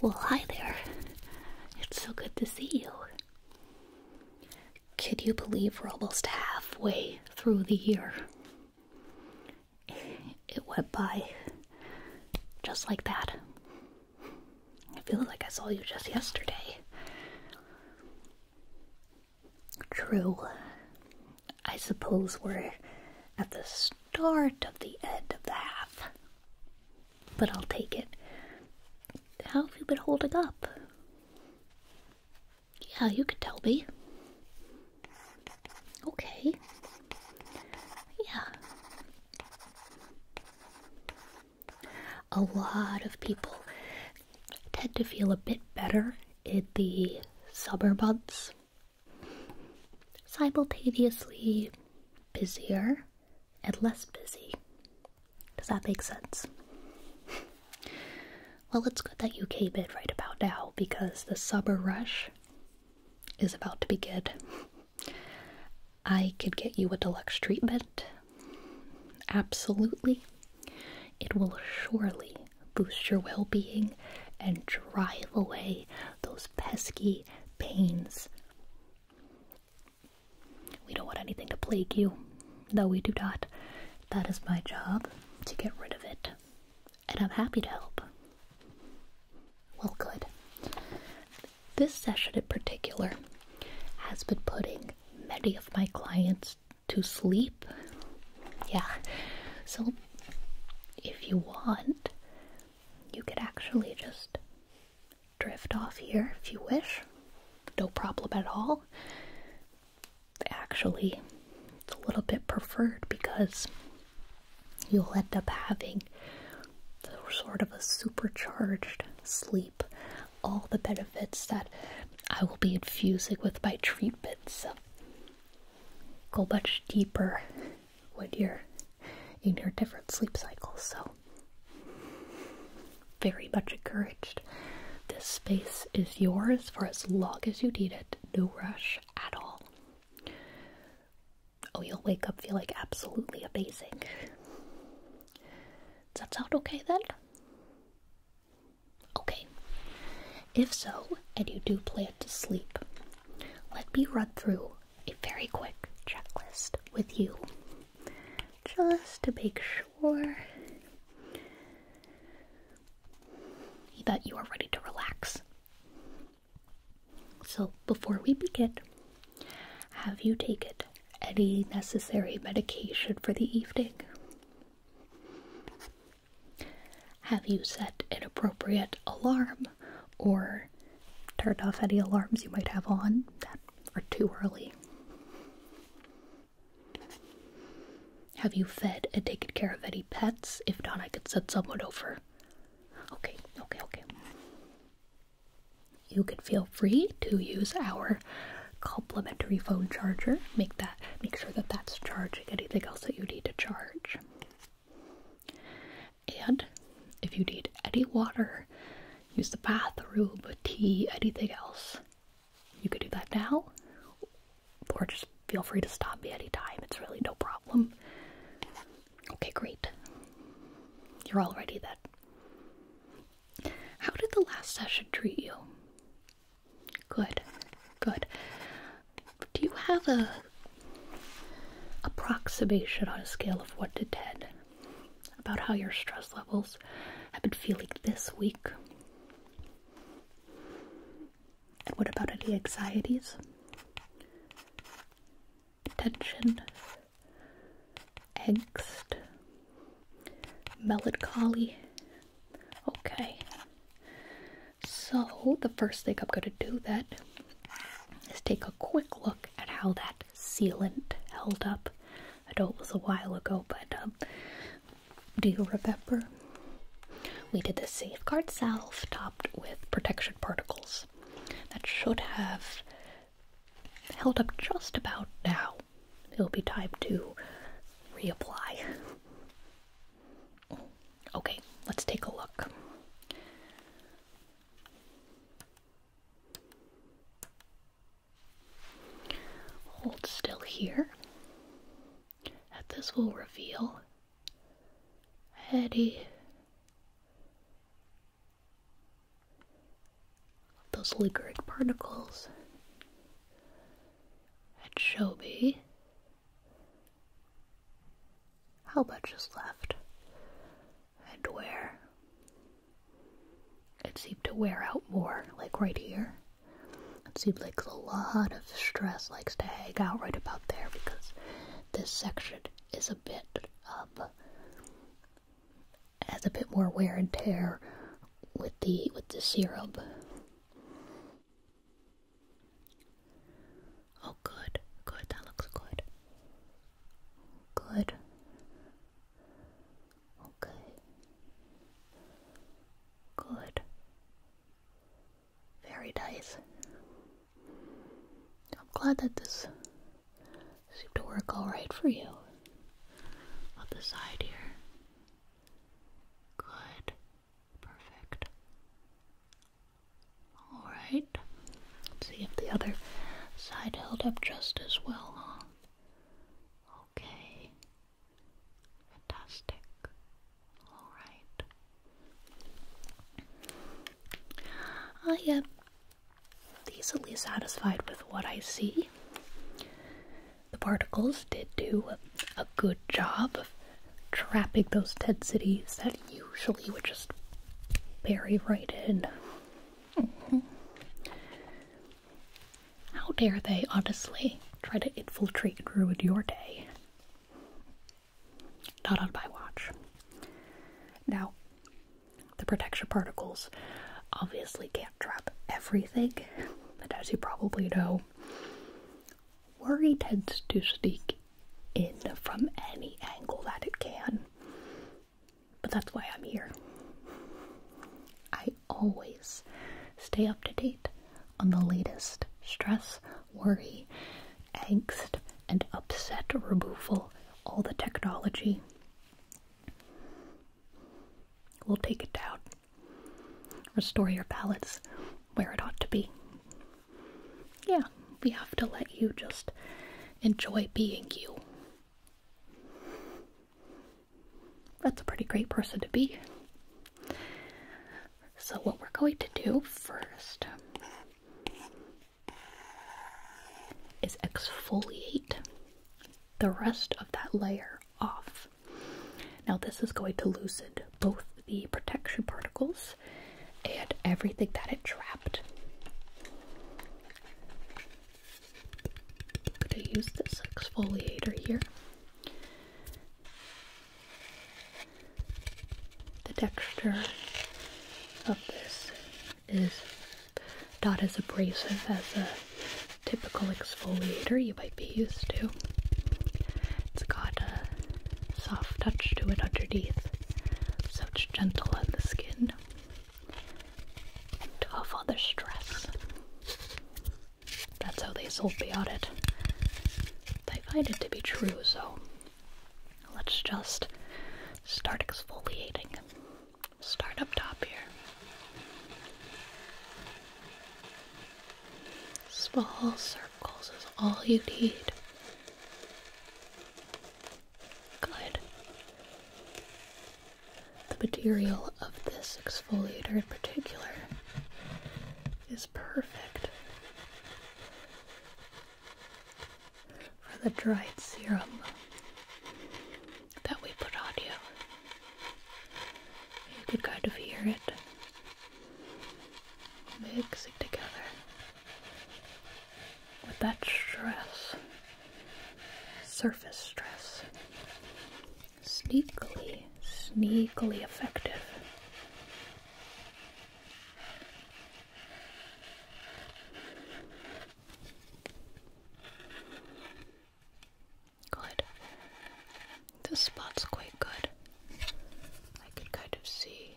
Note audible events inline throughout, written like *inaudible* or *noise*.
Well, hi there. It's so good to see you. Could you believe we're almost halfway through the year? It went by just like that. I feel like I saw you just yesterday. True. I suppose we're at this start of the end of the half. But I'll take it. How have you been holding up? Yeah, you could tell me. Okay. Yeah. A lot of people tend to feel a bit better in the suburbs simultaneously busier and less busy. Does that make sense? *laughs* well, it's good that you came in right about now because the summer rush is about to begin. *laughs* I could get you a deluxe treatment. Absolutely. It will surely boost your well being and drive away those pesky pains. We don't want anything to plague you. No, we do not. That is my job to get rid of it. And I'm happy to help. Well, good. This session in particular has been putting many of my clients to sleep. Yeah. So, if you want, you could actually just drift off here if you wish. No problem at all. Actually, it's a little bit preferred because you'll end up having sort of a supercharged sleep. All the benefits that I will be infusing with my treatments go much deeper when you're in your different sleep cycles. So very much encouraged. This space is yours for as long as you need it. No rush at all. Oh, you'll wake up feel like absolutely amazing. Does that sound okay then? Okay. If so, and you do plan to sleep, let me run through a very quick checklist with you just to make sure that you are ready to relax. So, before we begin, have you taken any necessary medication for the evening? Have you set an appropriate alarm? or turned off any alarms you might have on that are too early. Have you fed and taken care of any pets? If not, I could send someone over. Okay, okay, okay. You can feel free to use our complimentary phone charger. Make that make sure that that's charging anything else that you need to charge. And if you need any water, use the bathroom, tea, anything else, you can do that now, or just feel free to stop me anytime. It's really no problem. Okay, great. You're all ready then. How did the last session treat you? Good, good do you have a approximation on a scale of 1 to 10 about how your stress levels have been feeling this week? what about any anxieties? Tension? Angst? Melancholy? Okay. So, the first thing I'm going to do that is take a quick look at how that sealant held up. I know it was a while ago, but um, do you remember? We did the safeguard salve topped with protection particles. That should have held up just about now. It'll be time to reapply. Oh, okay, let's take a look. Hold still here. At this will reveal Eddie. Those liguric particles at Shobi how much is left? And where? It seemed to wear out more, like right here. It seemed like a lot of stress likes to hang out right about there because this section is a bit, um, has a bit more wear and tear with the, with the serum. Oh, good, good, that looks good. Good. Okay. Good. Very nice. I'm glad that this seemed to work alright for you. On the side here. Good. Perfect. Alright. Let's see if the other side held up just as well, huh? Okay. Fantastic. Alright. Ah, I am decently satisfied with what I see. The particles did do a good job of trapping those cities that usually would just bury right in. Mm-hmm. How dare they, honestly, try to infiltrate and ruin your day? Not on my watch. Now, the protection particles obviously can't trap everything, but as you probably know, worry tends to sneak in from any angle that it can. But that's why I'm here. I always stay up to date on the latest stress, worry, angst, and upset removal, all the technology. We'll take it out, Restore your balance where it ought to be. Yeah, we have to let you just enjoy being you. That's a pretty great person to be. So, what we're going to do first is exfoliate the rest of that layer off. Now, this is going to loosen both the protection particles and everything that it trapped. I'm going to use this exfoliator here. The texture of this is not as abrasive as a typical exfoliator you might be used to. It's got a soft touch to it underneath, such gentle on the skin, to the stress. That's how they sold me on it. I find it to be true, so let's just start exfoliating. Start up top here. Small circle circles is all you need. Good. The material of this exfoliator in particular is perfect for the dried serum that we put on you. You could kind of hear it mixing together with that stress, surface stress, sneakily, sneakily effective. Good. This spot's quite good. I can kind of see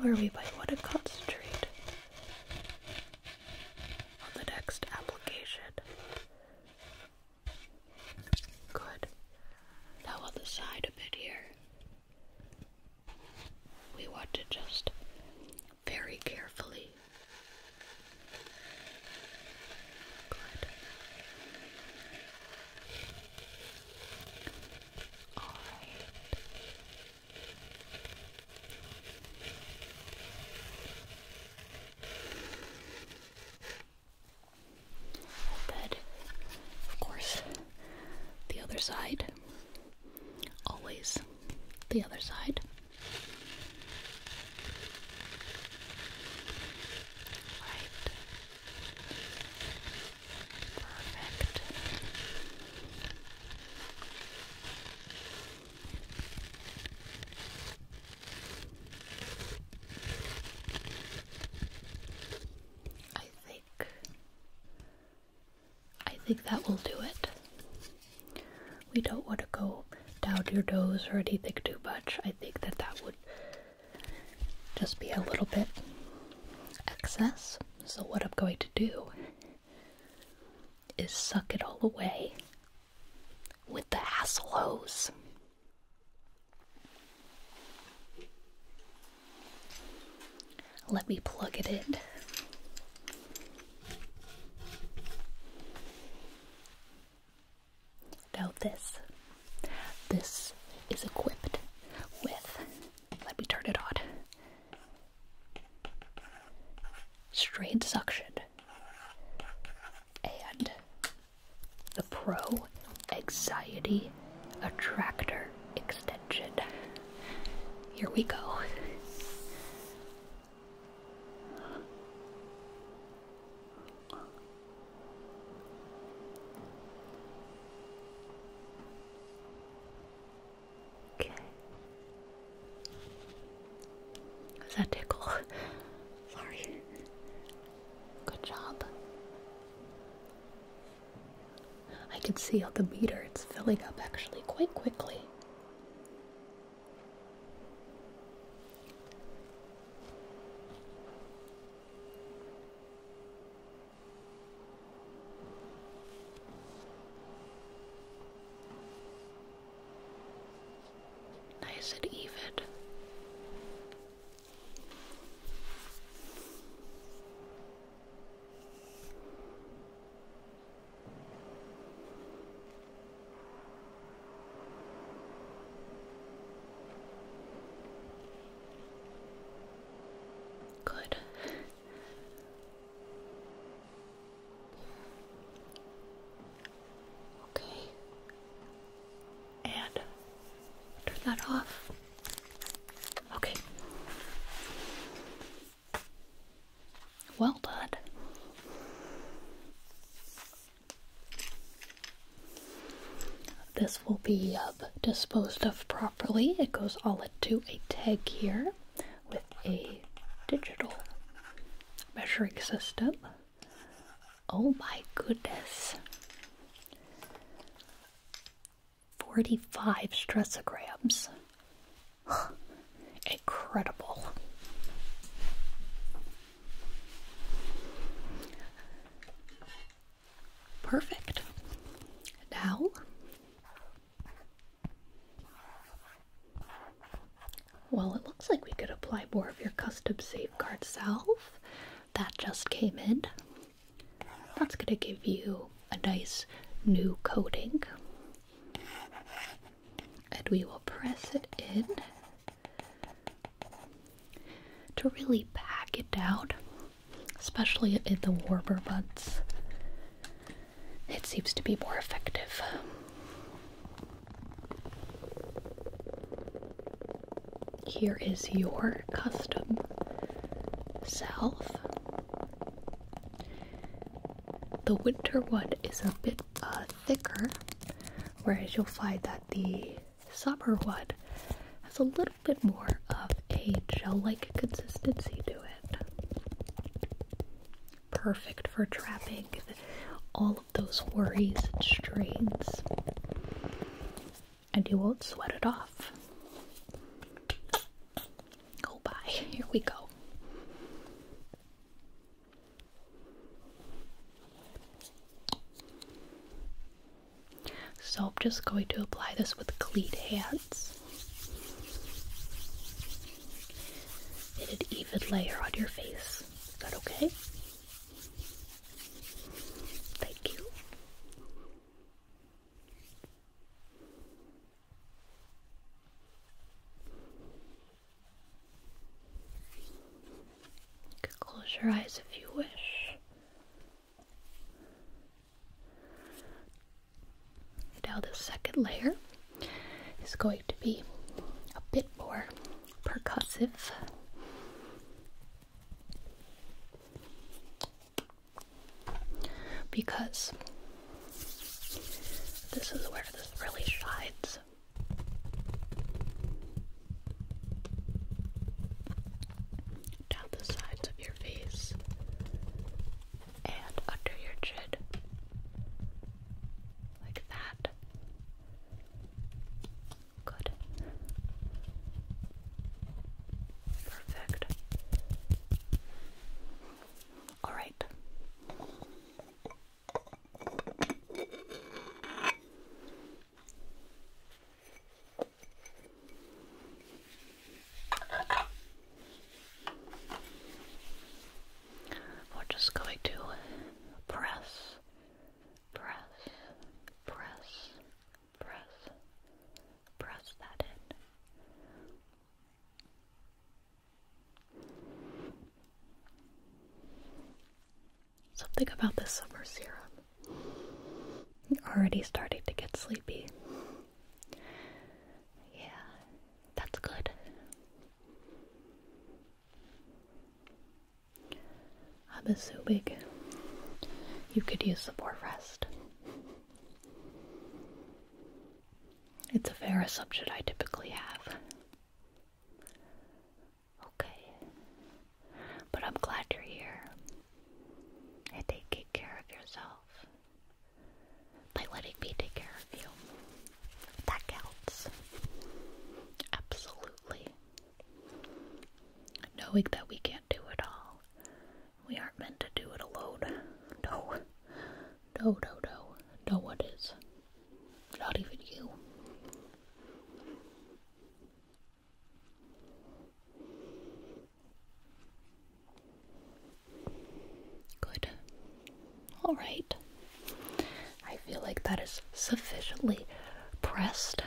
where we might want to concentrate on the next application. Good. Now on side a bit here. We want to just very carefully. Good of course, the other side. Always the other side. Right. Perfect. I think I think that will do it. We don't want to go down your nose or anything too much. I think that that would just be a little bit excess. So, what I'm going to do is suck it all away with the hassle hose. Let me plug it in. Now this, this is equipped with, let me turn it on, straight suction and the Pro Anxiety Attractor Extension. Here we go. Okay. Was that tickle? *laughs* Sorry. Good job. I can see how the meter it's filling up actually quite quickly. Nice and even. Good. Okay. And turn that off. Okay. Well done. This will be uh, disposed of properly. It goes all into a tag here with a digital measuring system. Oh my goodness. 45 stressograms. *sighs* Incredible. Perfect. Now well, it looks like we could apply more of your custom safeguard salve that just came in. That's going to give you a nice new coating. And we will press it in to really pack it out, especially in the warmer months. It seems to be more effective. Here is your custom self. The winter one is a bit uh, thicker, whereas you'll find that the Summerwood has a little bit more of a gel-like consistency to it. Perfect for trapping all of those worries and strains. And you won't sweat it off. Oh, bye. Here we go. So I'm just going to apply this with clean hands in an even layer on your face. Is that okay? Thank you close your eyes if you wish. Now, the second layer is going to be a bit more percussive. Because this is where this really shines down the sides of your face and under your chin, like that. Good. Perfect. All right. We're just going to press, press, press, press, press that in. Something about this summer serum. I'm already starting to get sleepy. Yeah, that's good. I'm a big. you could use the more rest. It's a fair assumption I typically have. Okay. But I'm glad you're here. And take care of yourself by letting me take care of you. That counts. Absolutely. Knowing that we can't do it all. We aren't meant to do it alone. No. No, no, no. No one is. Not even you. Good. All right. I feel like that is sufficiently pressed.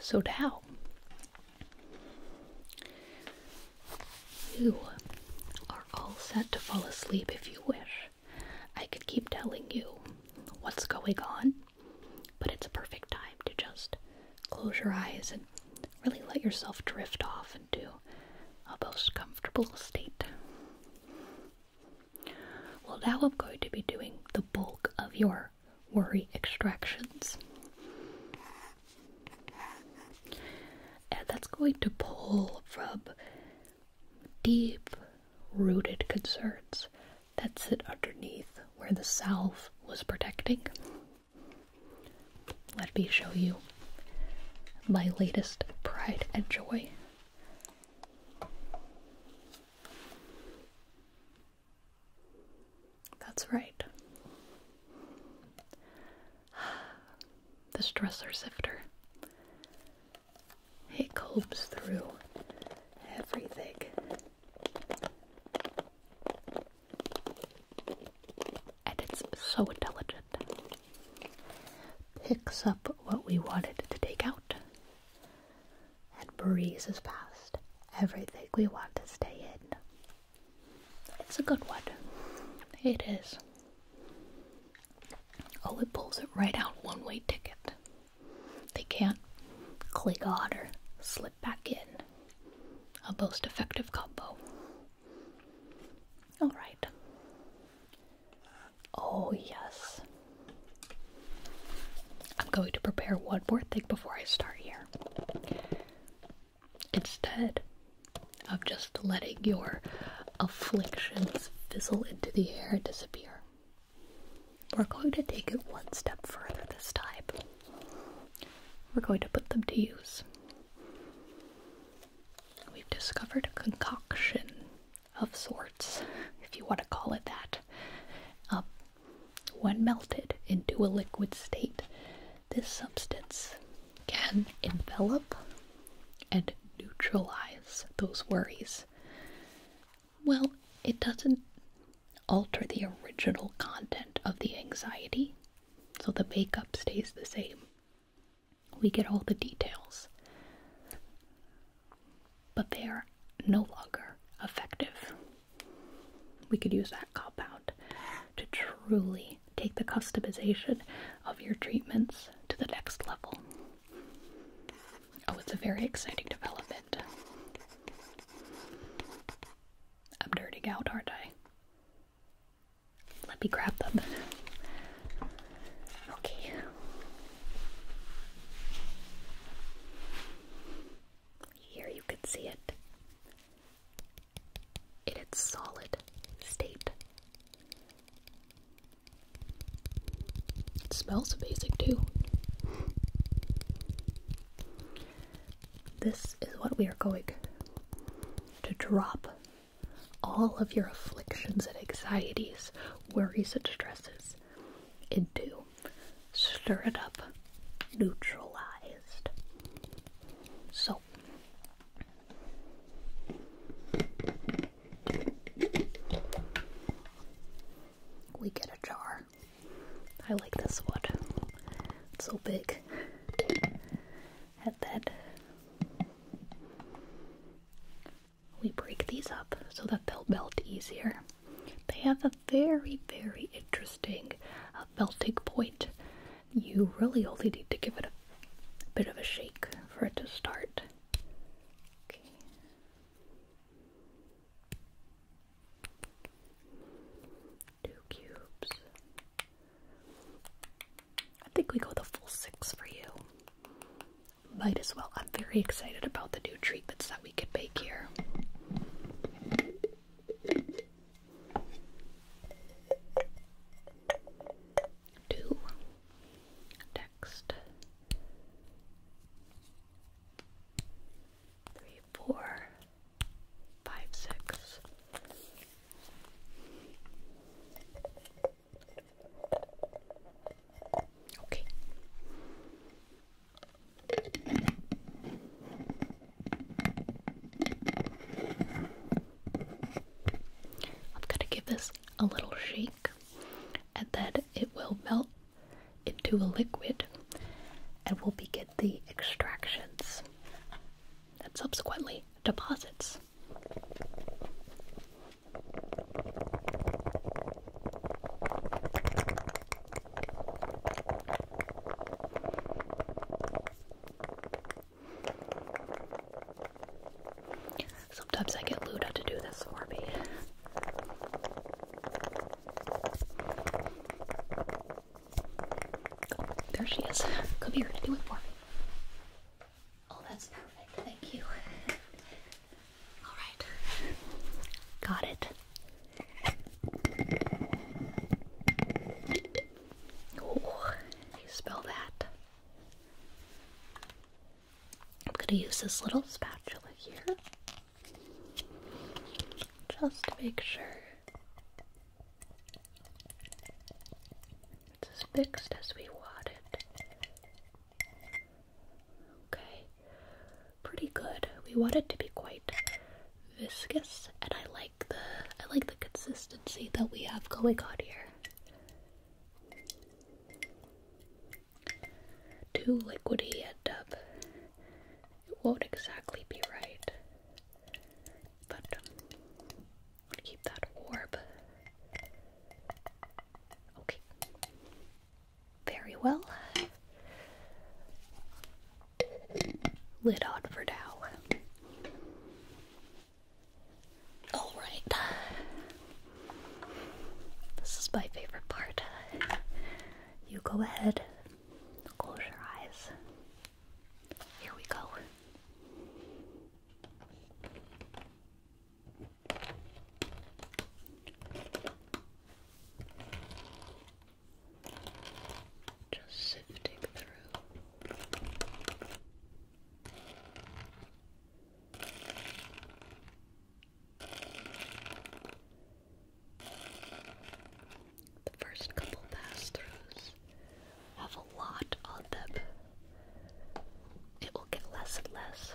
So now you are all set to fall asleep if you wish. I could keep telling you what's going on, but it's a perfect time to just close your eyes and really let yourself drift off into a most comfortable state. Well, now I'm going to be doing the bulk of your worry extractions. And that's going to pull from deep rooted concerns that sit underneath where the self was protecting. Let me show you my latest pride and joy. That's right. *sighs* The stressor sifter. It combs through everything. And it's so intelligent. Picks up what we wanted to take out and breezes past everything we want to stay in. It's a good one. It is. Oh, it pulls it right out one way ticket. They can't click on or slip back in. A most effective combo. Alright. Oh, yes. I'm going to prepare one more thing before I start here instead of just letting your afflictions fizzle into the air and disappear. We're going to take it one step further this time. We're going to put them to use. We've discovered a concoction of sorts, if you want to call it that. Um, when melted into a liquid state, this substance can envelop and neutralize those worries. Well, it doesn't alter the original content of the anxiety, so the makeup stays the same. We get all the details, but they are no longer effective. We could use that compound to truly take the customization of your treatments to the next level. Oh, it's a very exciting development. I'm nerding out, aren't I? Let me grab them. Okay. Here you can see it in its solid state. It smells amazing too. This is what we are going to drop all of your afflictions and anxieties, worries and stresses into stir it up, neutralized. So we get a jar. I like this one. so big. At that, we break these up so that they'll melt easier. They have a very, very interesting uh, melting point. You really only need to give it a bit of a shake for it to start. Two cubes. I think we go the full six for you. Might as well. I'm very excited about the new treatments that we could make here to next three, four, five, six. Okay. I'm gonna give this a little shake and then it will melt into a liquid and will begin the extractions and subsequently deposits. Sometimes I get Luda to do this for me. there she is. Come here, do it for me. Oh, that's perfect. Thank you. All right. Got it. Oh, spell that. I'm going to use this little spatula here. Just to make sure it's as fixed as we want it. Okay pretty good. We want it to be quite viscous, and I like the I like the consistency that we have going on here. Too liquidy and um, it won't exactly be right, but um, keep that warm. Okay. Very well lid on for now. Alright. This is my favorite part. You go ahead, close your eyes. Here we go. Just sifting through. The first couple pass throughs have a lot on them. It will get less and less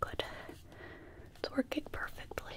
Good. It's working perfectly.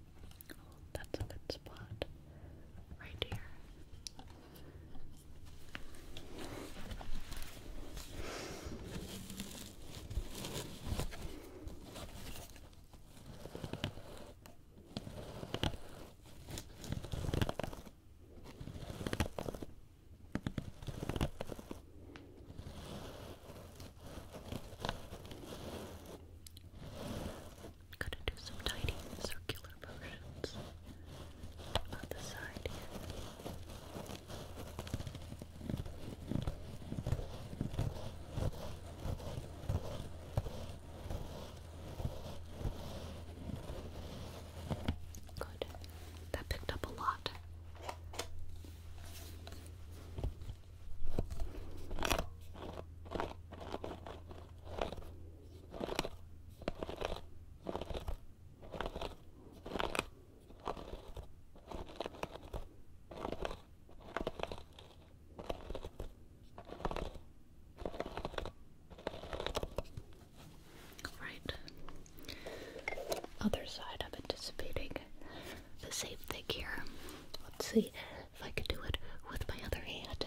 That's a good spot. Right here. Gonna do some tiny circular motions on the side Good. That picked up a lot. Right. Other side I'm anticipating the same thing here. Let's see if I can do it with my other hand.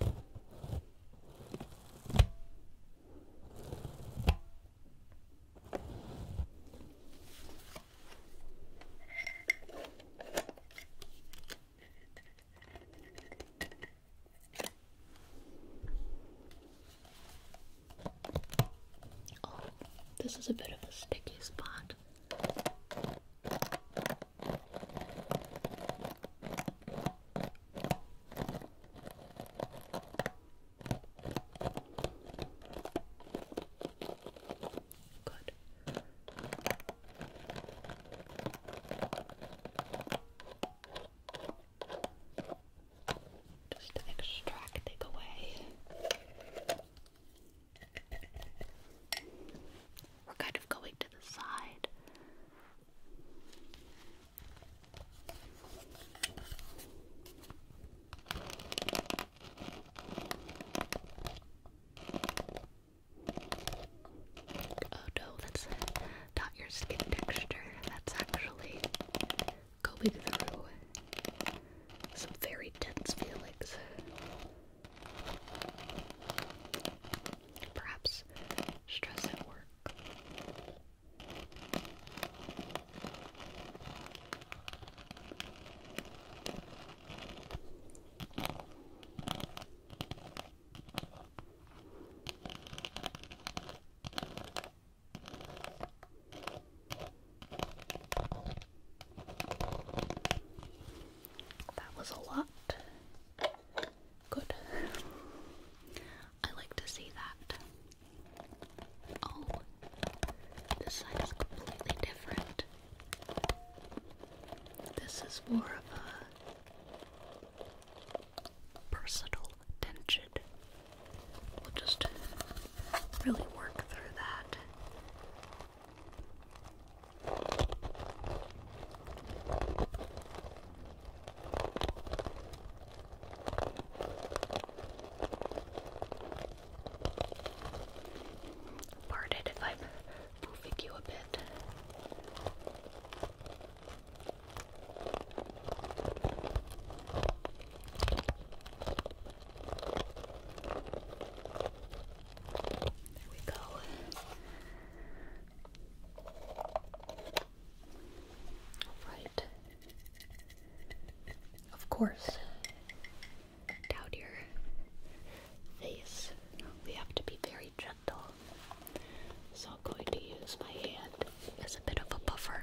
Oh, this is a bit of a sticky spot. Good. Just extract away. We're kind of going to the side Oh no, that's not your skin texture. That's actually going through some very tense feelings. Perhaps stress at work. That was a lot. Good. I like to see that. Oh, this side is completely different. This is more of a personal tension. We'll just really work through that. Pardon if I'm moving you a bit. There we go. Right. Of course. Down your face. We have to be very gentle. So I'm going to use my hand as a bit of a buffer.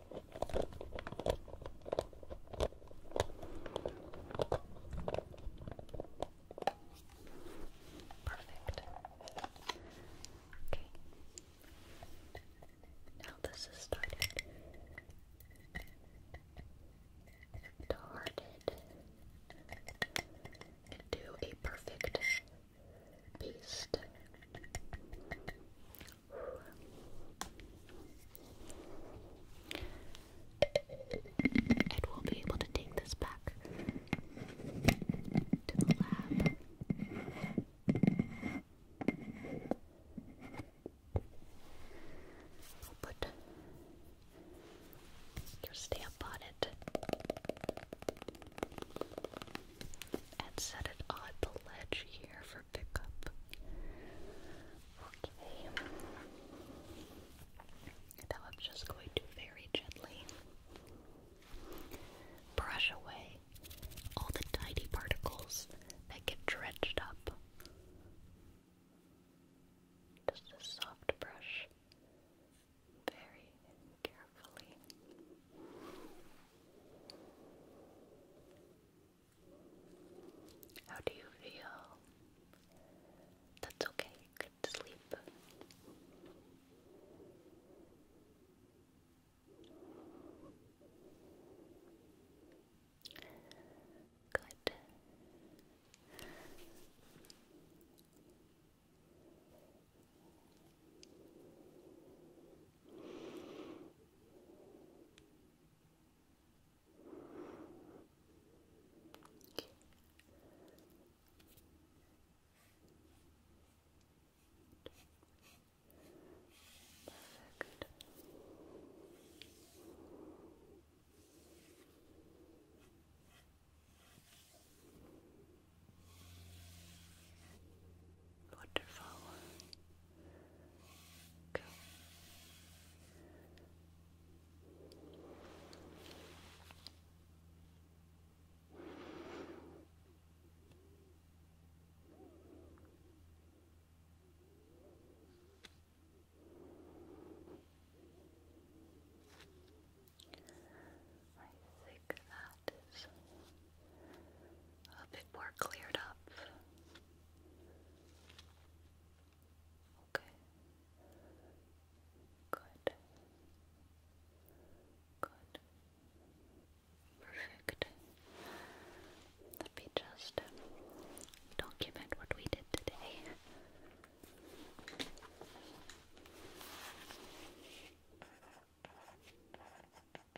Perfect. Okay. Now this is started. Started into a perfect paste. And we'll be able to take this back to the lab. I'll put your stamp on it and set it on the ledge here for pickup. Okay. Now I'm just going to very gently brush away all the tiny particles that get drenched up. Just a soft brush. Very carefully carefully. How do you feel? That's okay, you sleep. Good. Perfect. Good. Wonderful. Go. I think that is a bit more cleared up. Okay. Good. Good. Perfect. Let me just document what we did today.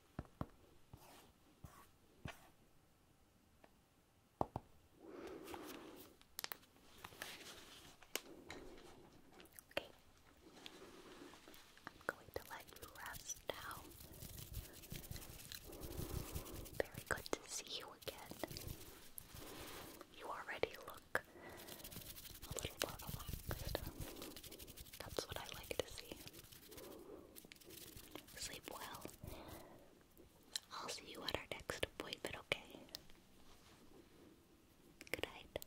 Okay. I'm going to let you rest now. Very good to see you again. You already look a little more relaxed. That's what I like to see. Sleep well. I'll see you at our next appointment, okay? Good night.